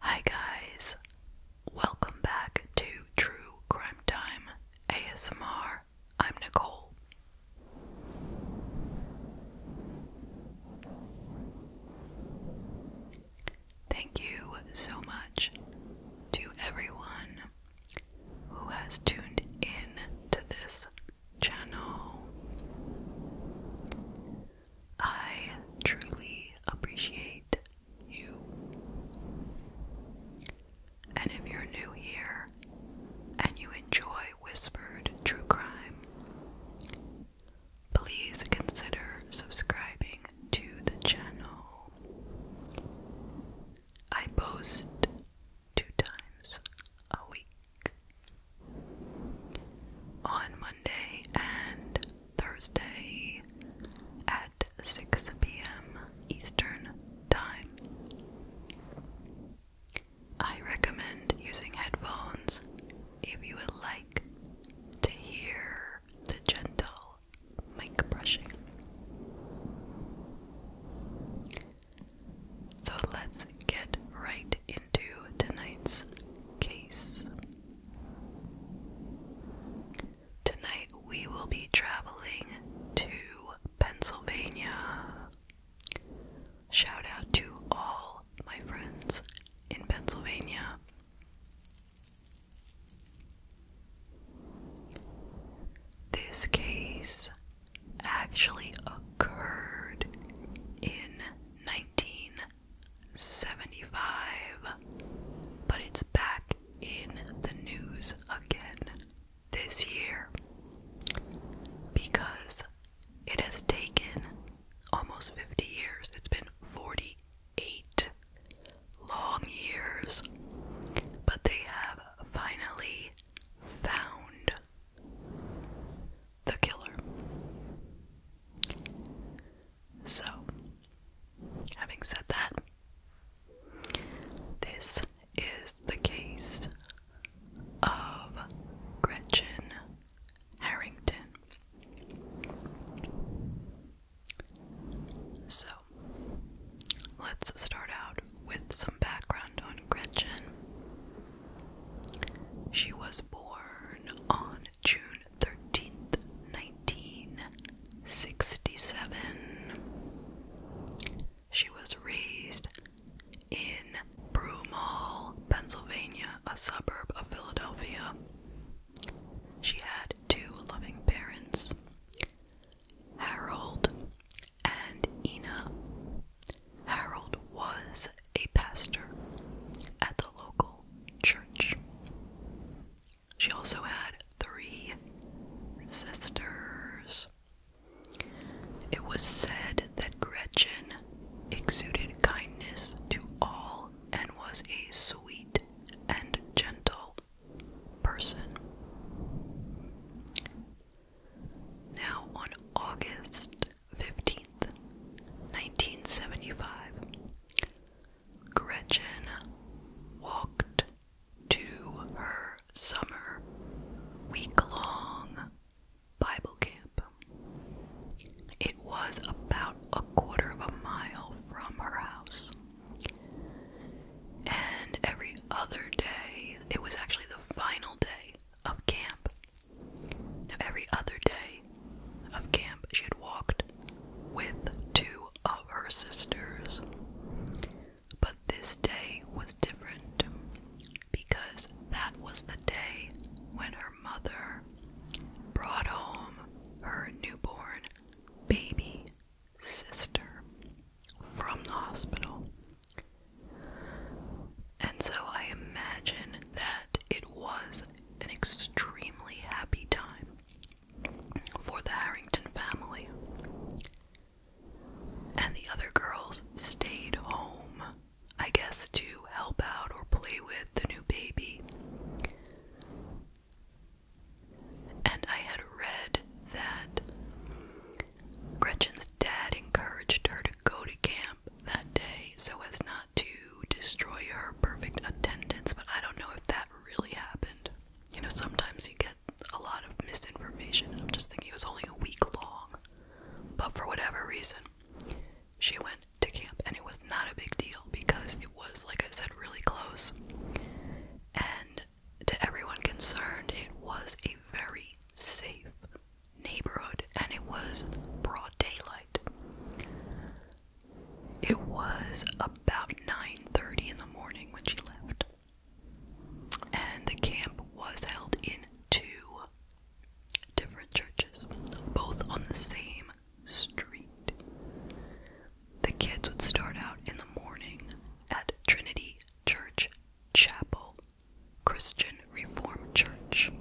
Hi, guys, welcome back to True Crime Time ASMR. I'm Nicole. Thank you so much to everyone who has tuned in to this channel. I truly appreciate you. And if you're new here and you enjoy Whispered True Crime, please consider subscribing to the channel. I post two times a week on Monday and Thursday at 6 p.m. Eastern Time. I recommend using headphones if you would like to hear the gentle mic brushing. So let's get right into tonight's case. Tonight we will be traveling to Pennsylvania. Shout out to all my friends in Pennsylvania. This case actually occurred in 1975, but it's back in the news again this year because it has taken almost 50 years. It's been 40 eight long years, but they have finally found the killer. So, having said that, this is the case of Gretchen Harrington. So, let's start out with some background on Gretchen. She was born on June 13th, 1967. She was raised in Broomall, Pennsylvania, a suburb of Philadelphia. She had two loving parents. Harold, and Ina. Harold was a pastor at the local church. She also had three sisters. It was said that Gretchen exuded kindness to all and was a sweet and gentle person. Now, on August 15th, 1975, Gretchen walked to her summer week long Bible camp. It was about a quarter of a mile from her house. And every other day, it was actually the final day of camp. every other day of camp, she had walked with two of her sisters. But this day was different because that was the day when her mother brought home her newborn baby sister from the hospital. And so I imagine that it was an extremely happy time for the Harrington family. And the other girls stayed home, I guess, to help out or play with the new baby. And I had read that Gretchen's dad encouraged her to go to camp that day so as not to destroy her perfect attendance, but I don't know if that really happened. You know, sometimes you get a lot of misinformation, and I'm just thinking it was only a week long. But for whatever reason, she went to camp, and it was not a big deal because was, like I said, really close. And to everyone concerned, it was a very safe neighborhood and it was broad daylight. It was about 9:30 in the morning when she left. And the camp was held in two different churches, both on the same Street. The kids would start out in the morning at Trinity Church Chapel, Christian Reformed Church,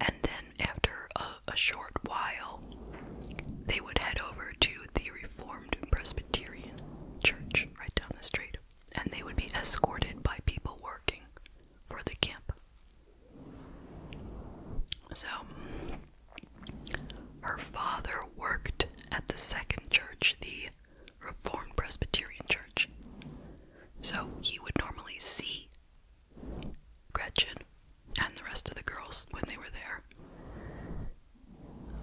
and then after a, short while, they would head over to the Reformed Presbyterian Church right down the street, and they would be escorted by people working for the camp. So, her father worked at the second church, the Reformed Presbyterian Church. So he would normally see Gretchen and the rest of the girls when they were there.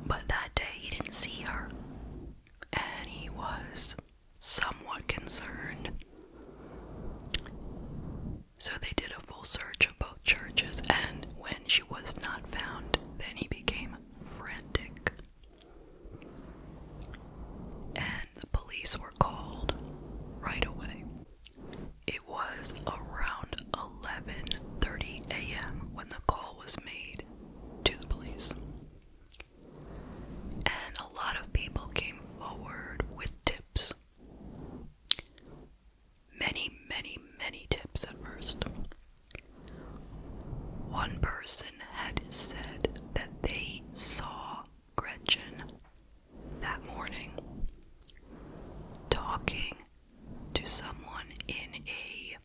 But that day he didn't see her, and he was somewhat concerned. So they did a full search of both churches, and when she was not found, then he became frantic. And the police were called right away. It was around 11:30 a.m. when the call was made to the police. And a lot of people came forward with tips many, many, many tips at first. One person had said that they saw Gretchen that morning talking to someone in a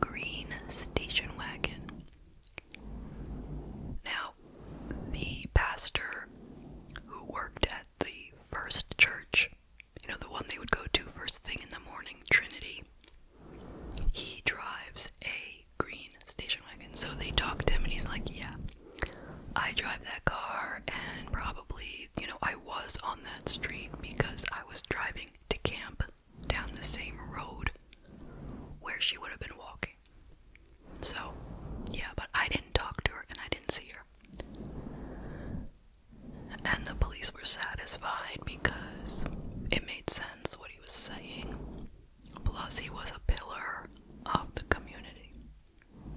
green station wagon. Now, the pastor who worked at the first church you know, the one they would go to first thing in the morning, Trinity. He drives a green station wagon. So they talk to him and he's like, Yeah, I drive that car, and probably, you know, I was on that street because I was driving to camp down the same road where she would have been walking. So, yeah, but I didn't talk to her and I didn't see her. And the police were satisfied because it made sense what he was saying. Plus, he was a pillar of the community.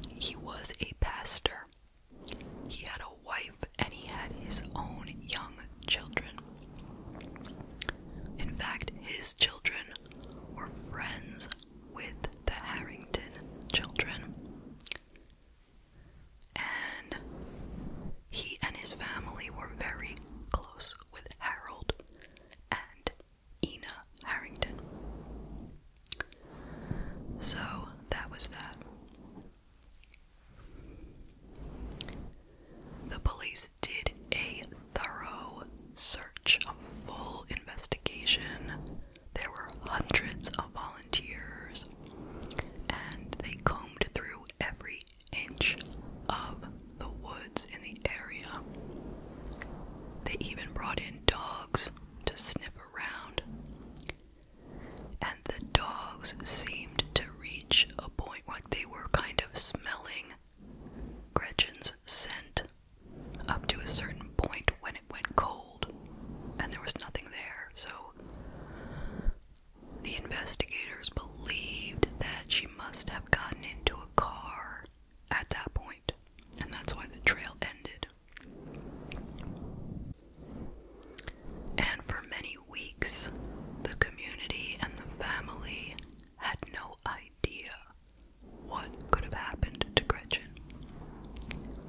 He was a pastor. He had a wife and he had his own young children. In fact, his children were friends with the Harrington children. And he and his family were very close with Harold and Ina Harrington. So that was that. The police did a thorough search, a full investigation there were hundreds of volunteers, and they combed through every inch of the woods in the area. They even brought in dogs to sniff around, and the dogs seemed to reach a point where they were kind of smelling Gretchen's scent up to a certain point when it went cold and there was nothing there. So the investigators believed that she must have gotten into a car at that point, and that's why the trail ended. And for many weeks, the community and the family had no idea what could have happened to Gretchen?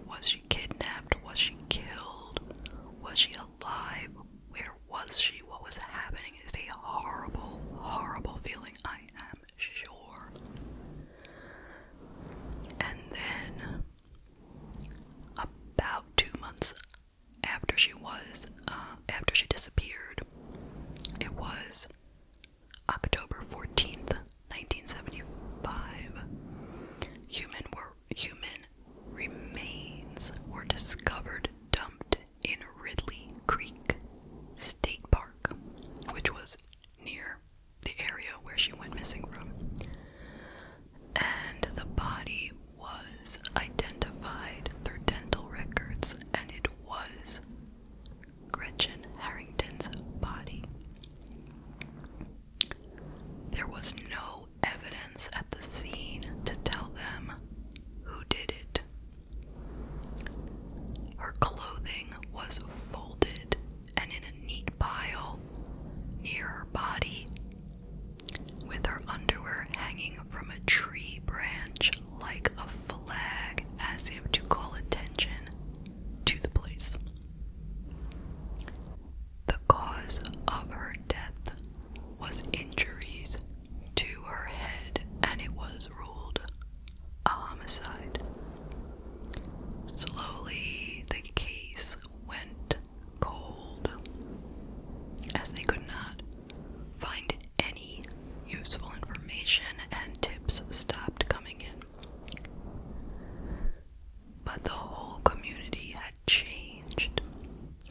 Was she kidnapped? Was she killed? Was she alive? Where was she? What was happening? It's a horrible, horrible feeling, I am sure. And then, about two months after she was, uh, after she disappeared, it was October 14th, 1975, human were human remains were discovered dumped in Ridley Creek State Park, which was near the area where she went missing from. And the body was identified through dental records and it was Gretchen Harrington's body. There was no evidence at the scene to tell them who did it. Her clothing was folded and in a neat pile near her body, with her underwear hanging from a tree branch like a flag as if to call attention to the place. The cause of her death was injuries to her head, and it was ruled a homicide. Slowly, the case went cold as they could not find any useful information and tips stopped coming in. But the whole community had changed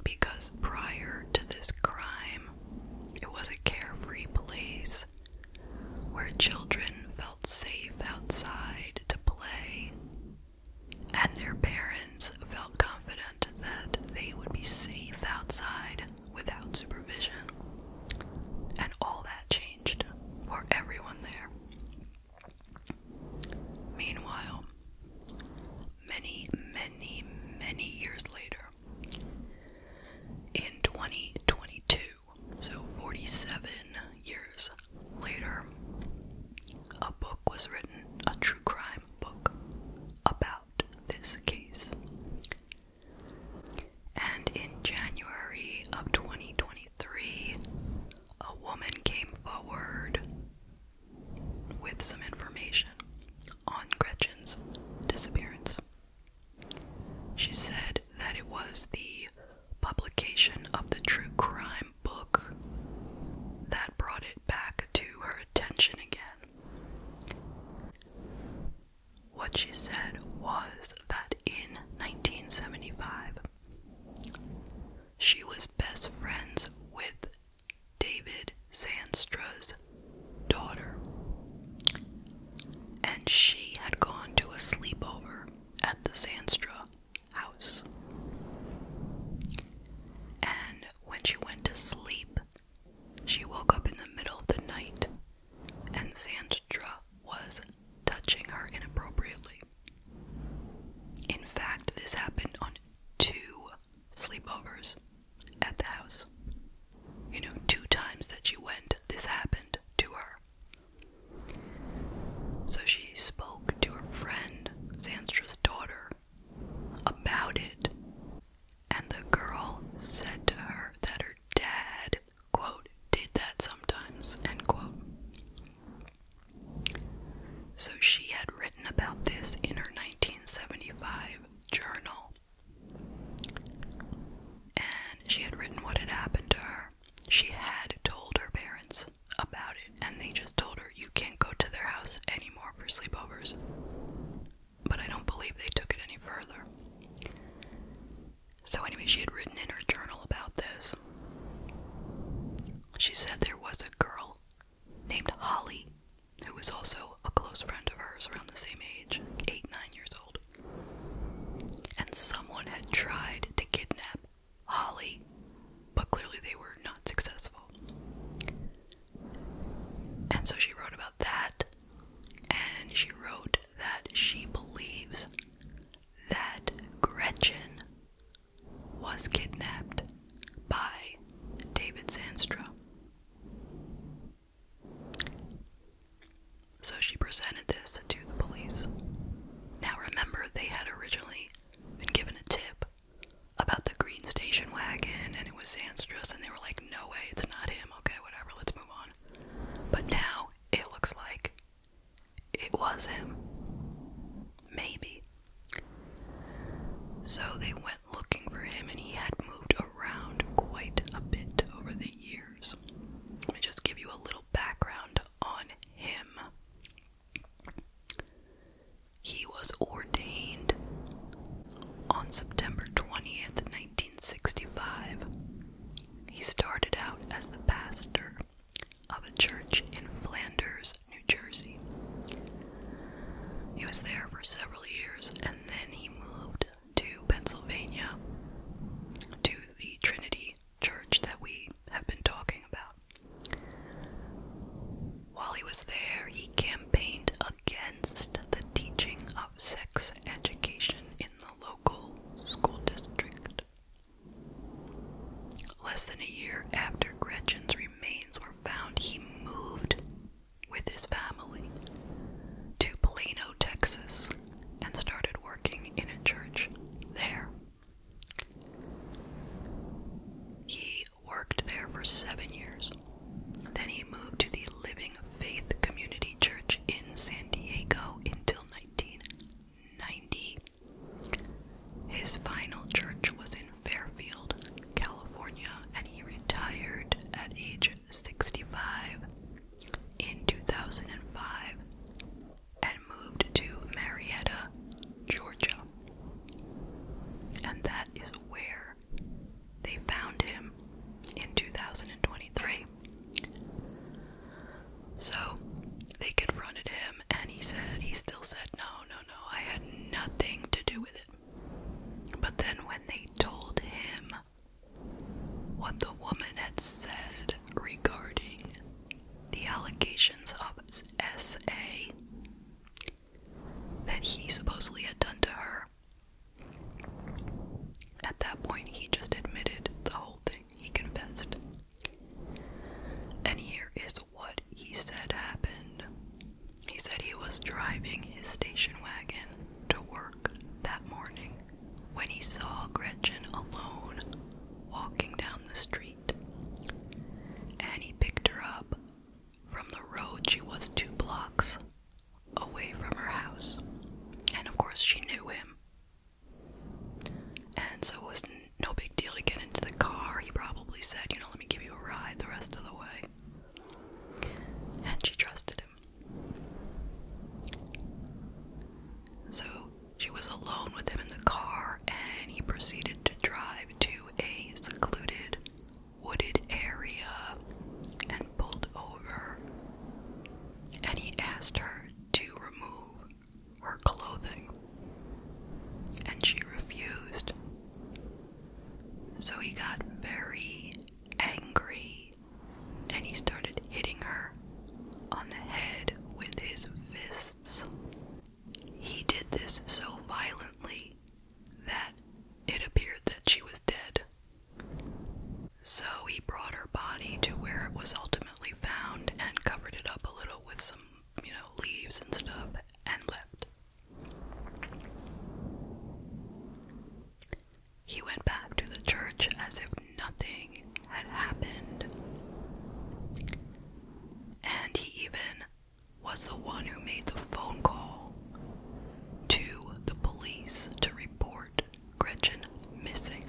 because prior to this crime, it was a carefree place where children felt safe outside to play, and their parents felt confident that they would be safe outside without supervision. And all that that changed for everyone there. Meanwhile, many, many, many years later, in 2022, so 47 years later, a book was written, a true crime book, about this case. And in January of 2023, a woman came forward with some information on Gretchen's disappearance. She said that it was the publication of the true crime book that brought it back to her attention again. What she said was that in 1975, she was best friends with David Sandstra's daughter, and she had gone to a sleepover at the Sandstra house. And when she went to sleep, she woke up in the middle of the night, and Sand Chitra was touching her inappropriately. In fact, this happened on two sleepovers at the house. You know, two times that she went, this happened to her. So she spoke to her friend, Sandstra's daughter, about it, and the girl said to her that her dad quote, did that sometimes, end quote. So she had written about this in her 1975 journal. And she had written what had happened to her. She had told her parents about it, and they just told her, You can't go to their house anymore for sleepovers. But I don't believe they took it any further. So, anyway, she had written in her journal about this. She said there was a girl named Holly who was also a close friend of hers around the same age, eight, nine years old. And someone had tried to kidnap Holly, but clearly they were not successful. And so she wrote about that, and she wrote that she believes that Gretchen was kidnapped by David Sandstra. So she presented this to the police. Now remember, they had originally been given a tip about the green station wagon and it was Sandstra's, and they were like, no way, it's not him, okay, whatever, let's move on. But now it looks like it was him. Maybe. So they went looking for him, and he had moved around quite a bit over the years. Let me just give you a little background on him. He was ordained on September 20th, 1965, he started out as the pastor of a church in Flanders, New Jersey. He was there for several years and then he moved to Pennsylvania to the Trinity Church that we have been talking about. While he was there, he campaigned against the teaching of sex education in the local school district. Less than a year after Gretchen's remains were found, he moved with his family to Plano, Texas, and started working in a church there. He worked there for seven years. Then he moved to the Living Faith Community Church in San Diego until 1990. His final church was in Fairfield, California, and he retired at age 65 in 2005 and moved to Marietta, Georgia. And that is where they found him in 2023. So they confronted him and he said, he still said, no, no, no, I had nothing to do with it. But then when they told him what the woman had said regarding the allegations of SA that he supposedly had done to her, at that point, he just admitted the whole thing, he confessed. And here is what he said happened. He said he was driving his station wagon to work that morning when he saw Gretchen alone walking down the street. And he picked her up from the road. She was two blocks away from her house. And of course, she knew him. And so it was no big deal to get into the car. He probably said, you know, let me give you a ride the rest of the way. And she trusted him. So she was alone with him in the car, and he proceeded to drive to a secluded wooded area and pulled over and he asked her to remove her clothing, and she refused. So he got very angry and he started hitting her on the head with his fists. He did this so violently that it appeared that she was dead. So he brought her body to where it was ultimately found and covered it up a little with some, you know, leaves and stuff and left. He went back to the church as if nothing had happened. And he even was the one who made the phone call to the police to report report Gretchen missing.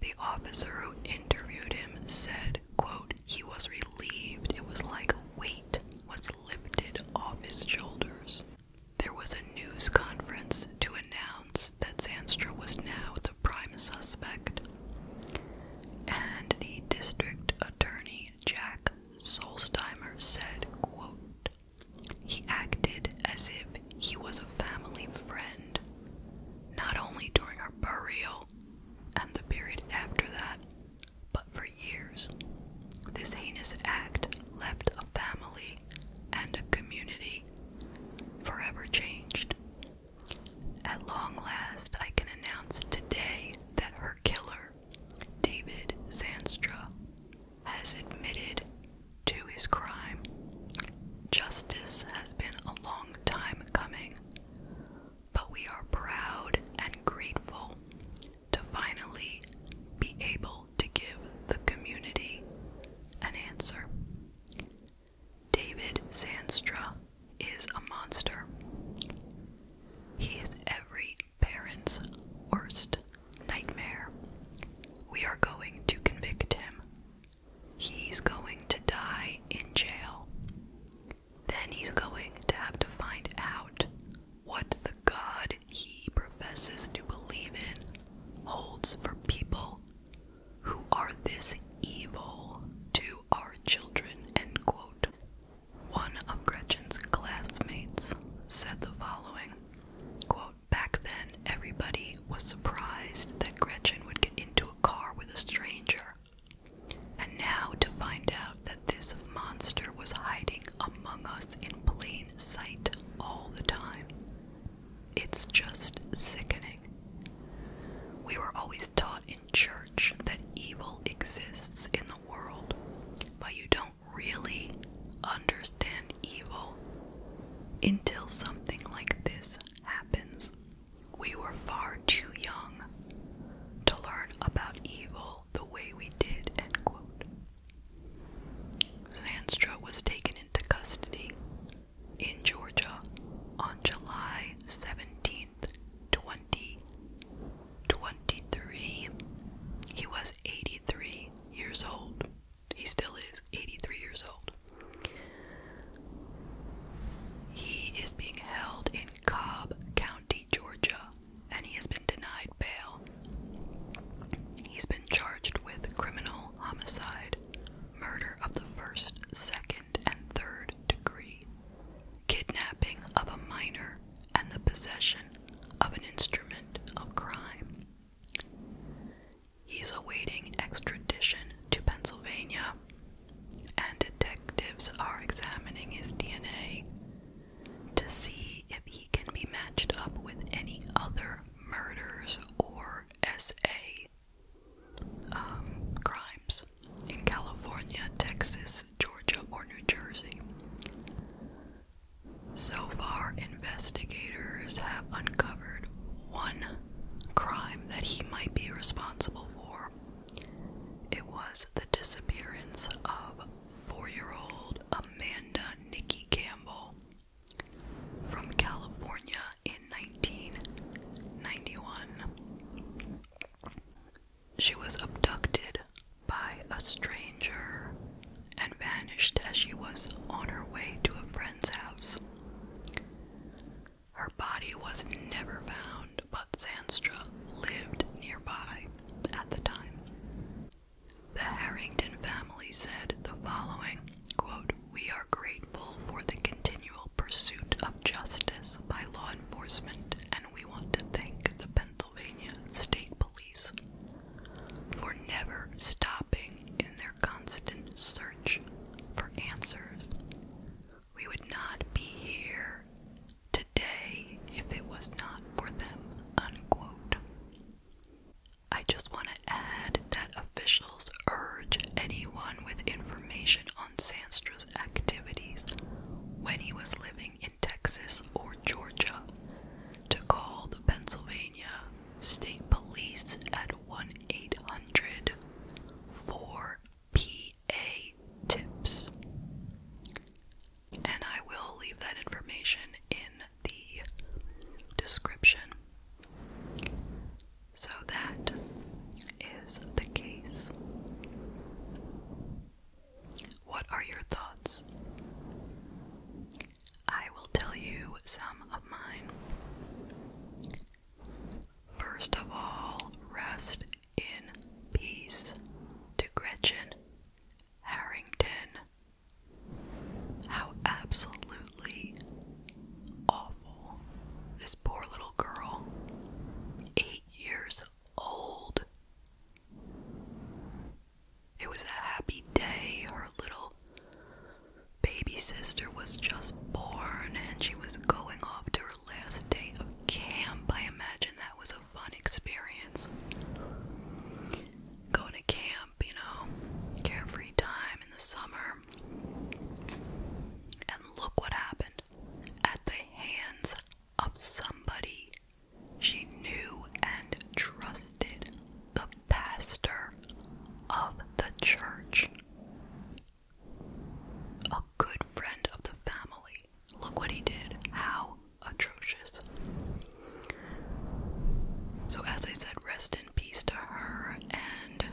The officer who interviewed him said, quote, he was relieved. It was like a weight was lifted off his shoulders. There was a news conference to announce that Zanstra was now the prime suspect. And the district attorney Jack Solstheimer said, quote, he acted as if he was a family friend, not only during her burial and the period after that, but for years. This heinous act left a family and a community forever changed. At long last, I can announce today that her killer, David Zanstra, has admitted to his crime. Justice has been a long time coming, but we are proud and grateful to finally be able to give the community an answer. David Sandstra is a monster. He is every parents' worst nightmare. We are going to convict him. He's going to die in jail. Then he's going to have to find out what the God he professes to believe in holds for people who are this evil to our children. One of Gretchen's classmates said the following Back then, everybody was surprised that Gretchen would get into a car with a stranger. And now to find out that this monster was hiding among us in plain sight all the time. It's just sickening. We were always taught in church that evil exists in the world, but you don't really understand evil until something like this happens. We were far too young to learn about evil the way we did, end quote. Zanstra was taken into custody in Georgia on July 17th, 2023. He was was 83 years old. He still is 83 years old. He is being held in Cobb County, Georgia, and he has been denied bail. He's been charged with criminal homicide, murder of the first, second, and third degree, kidnapping of a minor, and the possession of an instrument of crime. He is awaiting extradition to Pennsylvania, and detectives are examining his DNA to see if he can be matched up with any other murders or SA um, crimes in California, Texas, Georgia, or New Jersey. So far, investigators have uncovered one crime that he might be responsible for. It was the disappearance of four year old Amanda Nikki Campbell from California in 1991. She was abducted by a stranger and vanished as she was on her way to a friend's house. Her body was never found, but Sandstra lived nearby at the time. The Harrington family said the following quote, We are grateful for the continual pursuit of justice by law enforcement, and we want to thank the Pennsylvania. Pennsylvania State Police for never stopping in their constant search for answers. We would not be here today if it was not for them. I just want to add that officials urge anyone with information on Sandstra's activities when he was living in Texas or Georgia to call the Pennsylvania State Police at 1 800 4 PA tips. And I will leave that information in the description. So that is the case. What are your thoughts? I will tell you some of mine. First of all, rest in peace to Gretchen Harrington. How absolutely awful this poor little girl, eight years old. It was a happy day. Her little baby sister was just born and she was going off to her last day of camp. I imagine that was a fun experience. Going to camp, you know, carefree time in the summer. And look what happened at the hands of somebody she knew and trusted the pastor of the church. A good friend of the family. Look what he did. How atrocious. So, as I said, rest in peace to her, and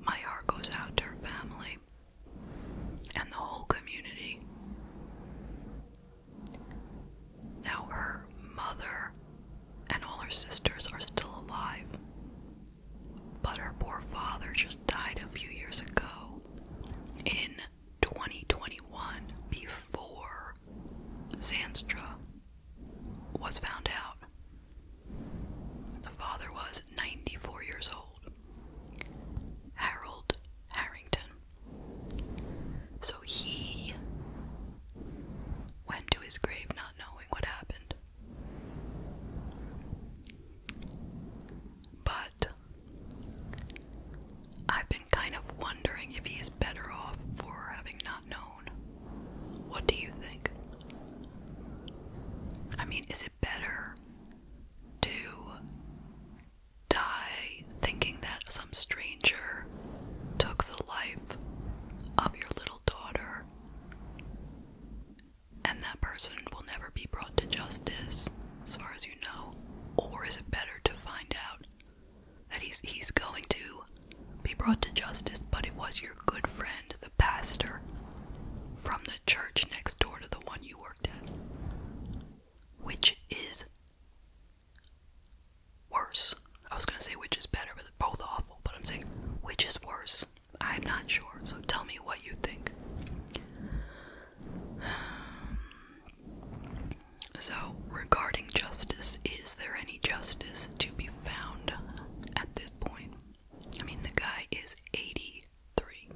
my heart goes out to her family and the whole community. Now, her mother and all her sisters are still alive, but her poor father just died a few years ago in 2021 before Zanstra was found out. The father was 94 years old. Harold Harrington. So he went to his grave not knowing what happened. But I've been kind of wondering if he is better off for having not known. What do you think? I mean, is it better to die thinking that some stranger took the life of your little daughter, and that person will never be brought to justice, as far as you know? Or is it better to find out that he's, he's going to be brought to justice, but it was your good friend, the pastor, from the church next door to the one you were? Which is worse? I was gonna say which is better, but they're both awful, but I'm saying which is worse? I'm not sure, so tell me what you think. So, regarding justice, is there any justice to be found at this point? I mean, the guy is 80 83.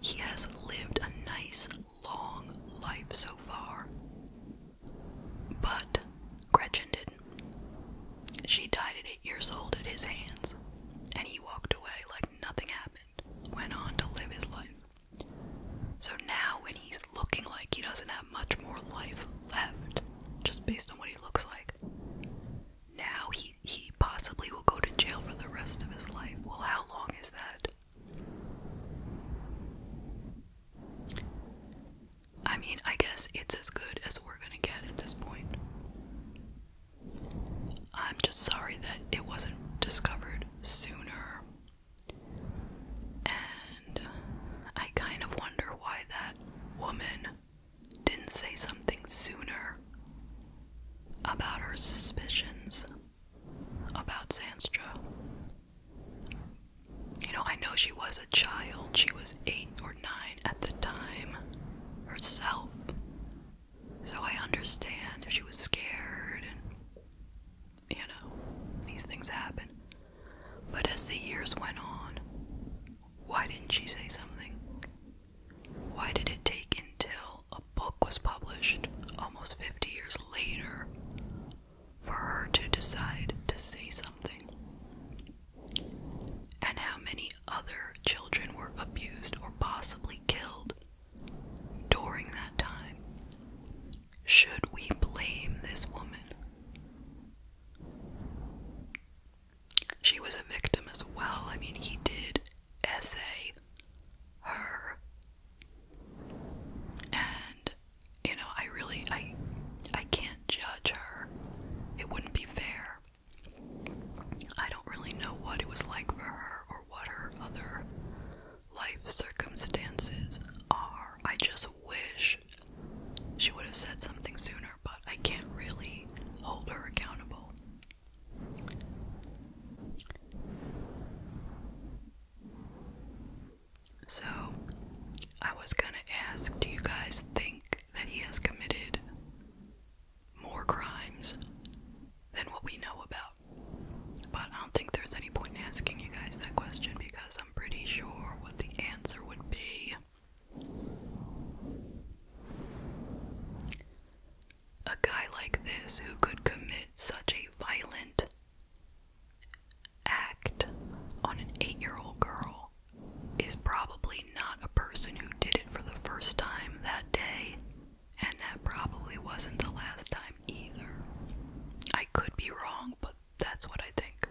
He has lived a nice long life so far. But Gretchen didn't. She died at 8 years old at his hands, and he walked away like nothing happened, went on to live his life. So now, when he's looking like he doesn't have much more life left, just based on what he looks like, now he he possibly will go to jail for the rest of his life. Well, how long is that? I mean, I guess it's as good as we're going to get at this point. I'm just sorry that it wasn't discovered sooner. And I kind of wonder why that woman didn't say something sooner about her suspicions about Sandstra. You know, I know she was a child, she was eight or nine at the time herself. So I understand she was scared and, you know, these things happen. But as the years went on, why didn't she say something? Why did it take until a book was published almost 50 years later for her to decide to say something? And how many other children were abused or possibly killed during that time? Should we blame this woman? She was a victim as well. I mean, he did essay her and you know I really I I can't judge her it wouldn't be fair I don't really know what it was like for her or what her other life circumstances are I just wish she would have said something sooner but I can't really hold her accountable so, I was gonna ask do you guys think that he has committed more crimes than what we know about? But I don't think there's any point in asking you guys that question because I'm pretty sure what the answer would be a guy like this who could commit such a violent act on an eight year old girl is probably not a person who did it for the first time that day, and that probably wasn't the last time either. I could be wrong, but that's what I think.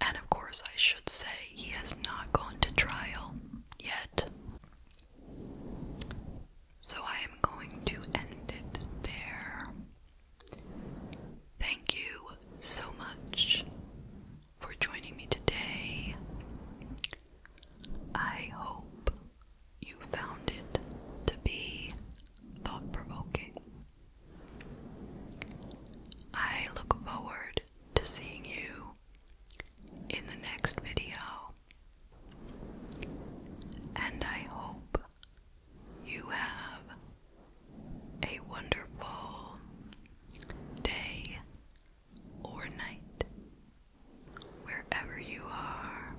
And of course, I should say he has not gone to trial yet. So I am going to end it there. Thank you so much for joining me today. I hope you found it to be thought provoking. I look forward to seeing you in the next video. And I hope you have a wonderful day or night wherever you are.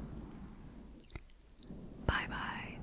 Bye bye.